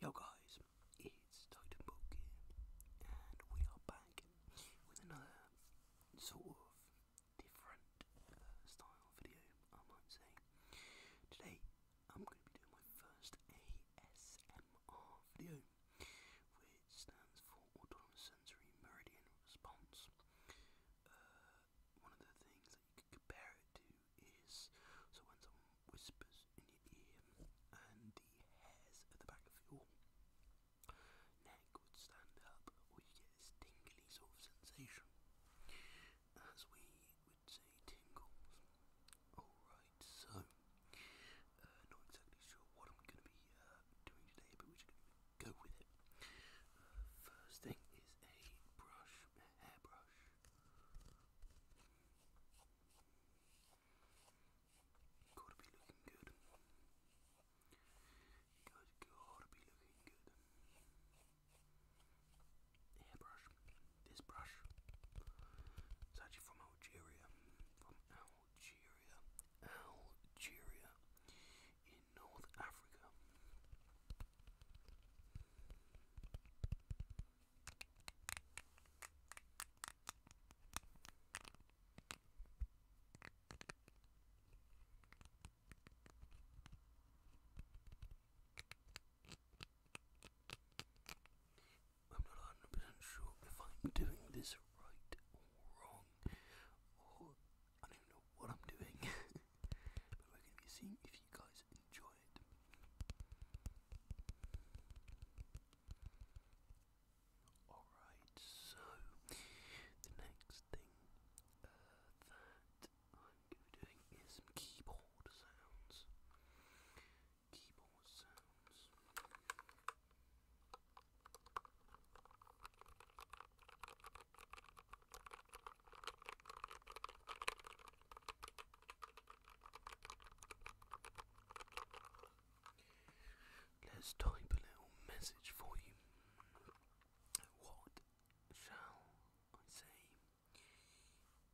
Yo guys, it's Titanbook here, and we are back with another sort of different uh, style video, I might say. Today, I'm going to be doing my first ASMR video, which stands for Autonomous Sensory Meridian Response. Uh, one of the things that you could compare it to is so when someone whispers in your ear and the hairs at the back of your neck would stand up, or get this tingly sort of sensation, as we would say tingles. Alright, so, uh, not exactly sure what I'm going to be uh, doing today, but we're going to go with it. Uh, first thing is a brush hairbrush. Gotta be looking good. gotta be looking good. hairbrush. This brush. It's actually from Algeria. From Algeria. Algeria. I'm not 100% sure if I'm doing this right or wrong, I don't know what I'm doing, but we're going to be seeing if you guys enjoy it. Alright, so the next thing uh, that I'm going to be doing is some keyboard sounds. Keyboard sounds. Let's type a little message for you. What shall I say?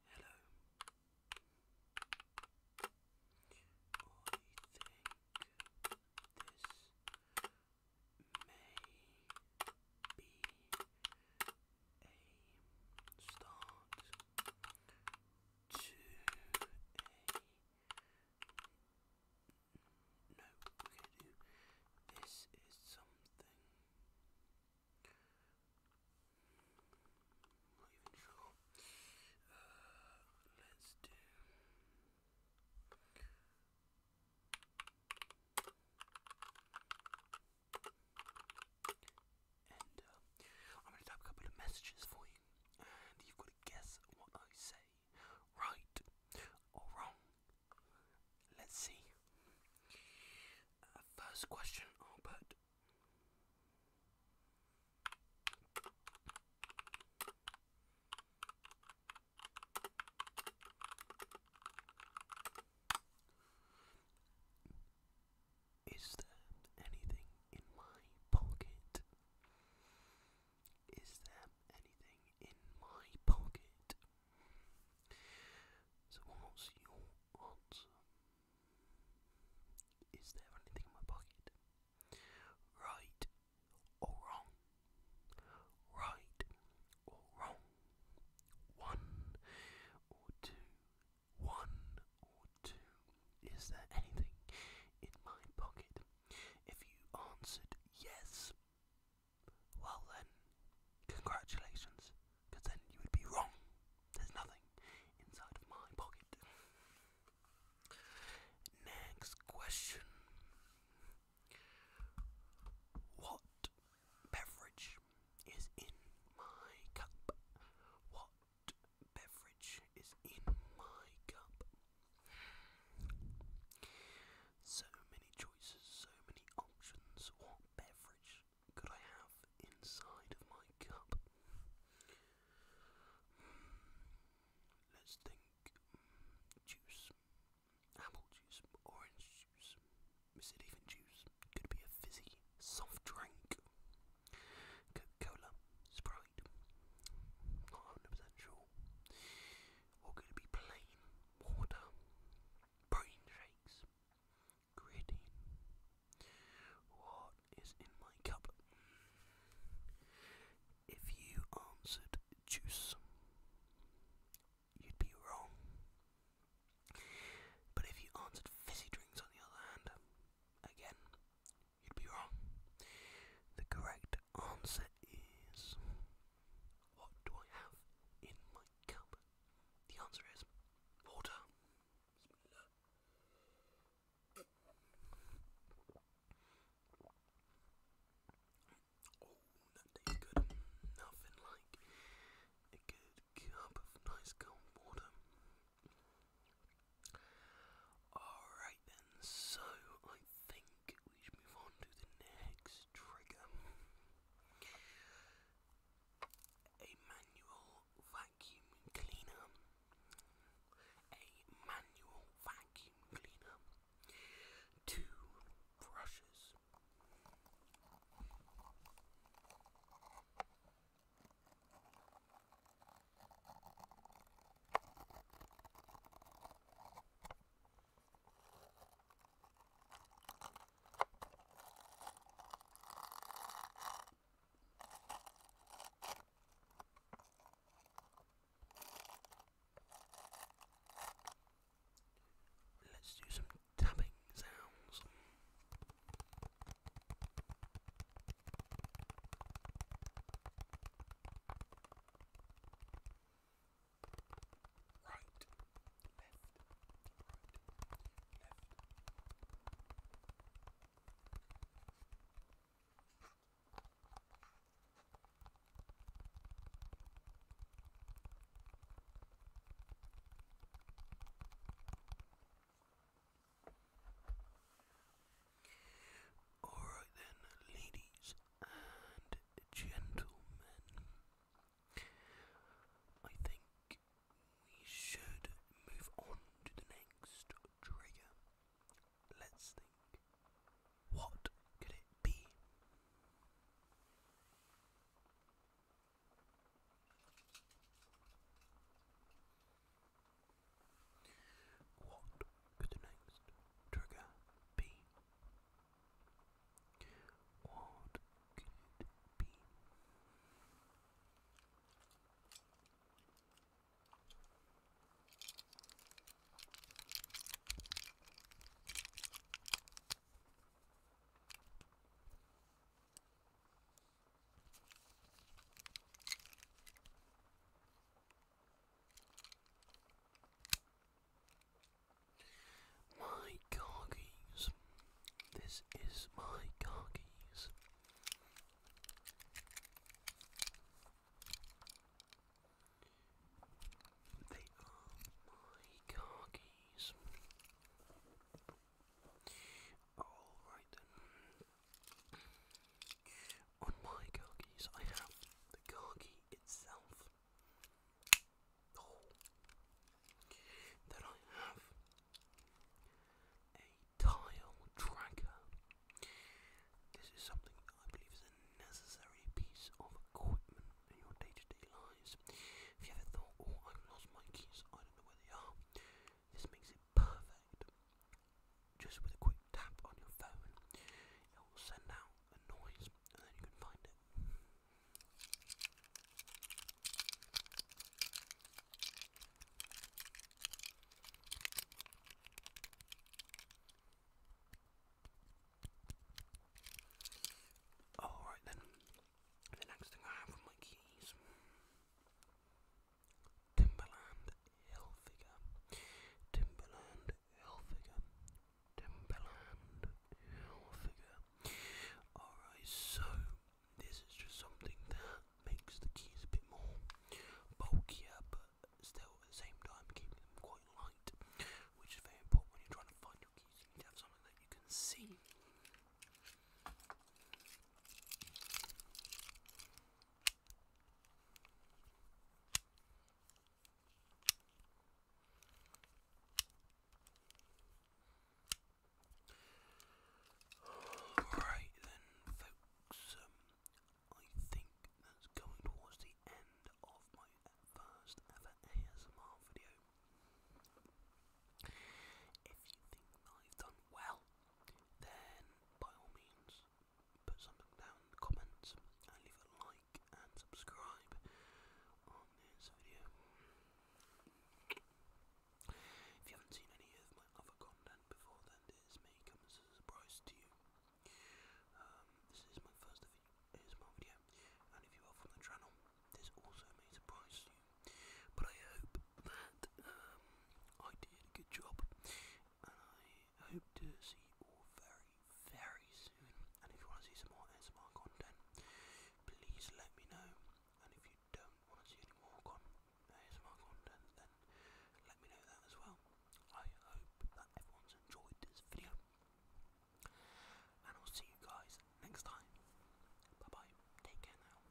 Hello. I think this may be a start to a no, we're gonna do this is something I'm not even sure. Uh, let's do and uh, I'm going to type a couple of messages for you, and you've got to guess what I say, right or wrong. Let's see. Uh, first question i is there anything in my pocket? Is there anything in my pocket? So, what's your answer? Is there anything in my pocket? Right or wrong. Right or wrong. One or two. One or two. Is there anything in my pocket? If you answered yes, well then, congratulations, because then you would be wrong. There's nothing inside of my pocket. Next question What beverage is in my cup? What beverage is in my cup? So many choices, so many options. What beverage could I have inside of my cup? Let's think. Juice. Apple juice. Orange juice. Is juice? Could be a fizzy soft drink. Coca-Cola. Sprite. Not 100% sure. Or could be plain water? Brain shakes. Gritty. What is in my cup. If you answered juice, you'd be wrong. But if you answered fizzy drinks on the other hand, again, you'd be wrong. The correct answer is what do I have in my cup? The answer is water. Oh, that good. Nothing like a good cup of nice cold water. Alright then, so I think we should move on to the next trigger. A manual vacuum cleaner, a manual vacuum cleaner, two brushes. Let's do some tapping sounds. Right, Alright then, ladies and gentlemen, I think we should move on to the next trigger. Let's think. What could it be? What could the next trigger be? What could it be? My car This is my car They are my car Alright then. On my car I have the car itself. Oh. Then I have a tile tracker. This is something that I believe is a necessary piece of equipment in your day to day lives. If you ever thought, oh, I've lost my keys, I don't know where they are, this makes it perfect. Just with a quick tap on your phone, it will send out Alright then, the next thing I have on my keys Timberland Hill Timberland Hill Alright, so this is just something that makes the keys a bit more bulkier, but still at the same time keeping them quite light, which is very important when you're trying to find your keys. You need to have something that you can see. Right then, folks, um, I think that's going towards the end of my first ever ASMR video. If you think that I've done well, then by all means, put something down in the comments and leave a like and subscribe on this video. If you haven't seen any of my other content before, then this may come as a surprise to you. Um, this is my first video, and if you are from the channel, this also may surprise you. But I hope that um, I did a good job, I hope to see you all very, very soon. And if you want to see some more ASMR content, please let me know. And if you don't want to see any more ASMR content, then let me know that as well. I hope that everyone's enjoyed this video. And I'll see you guys next time. Bye bye. Take care now.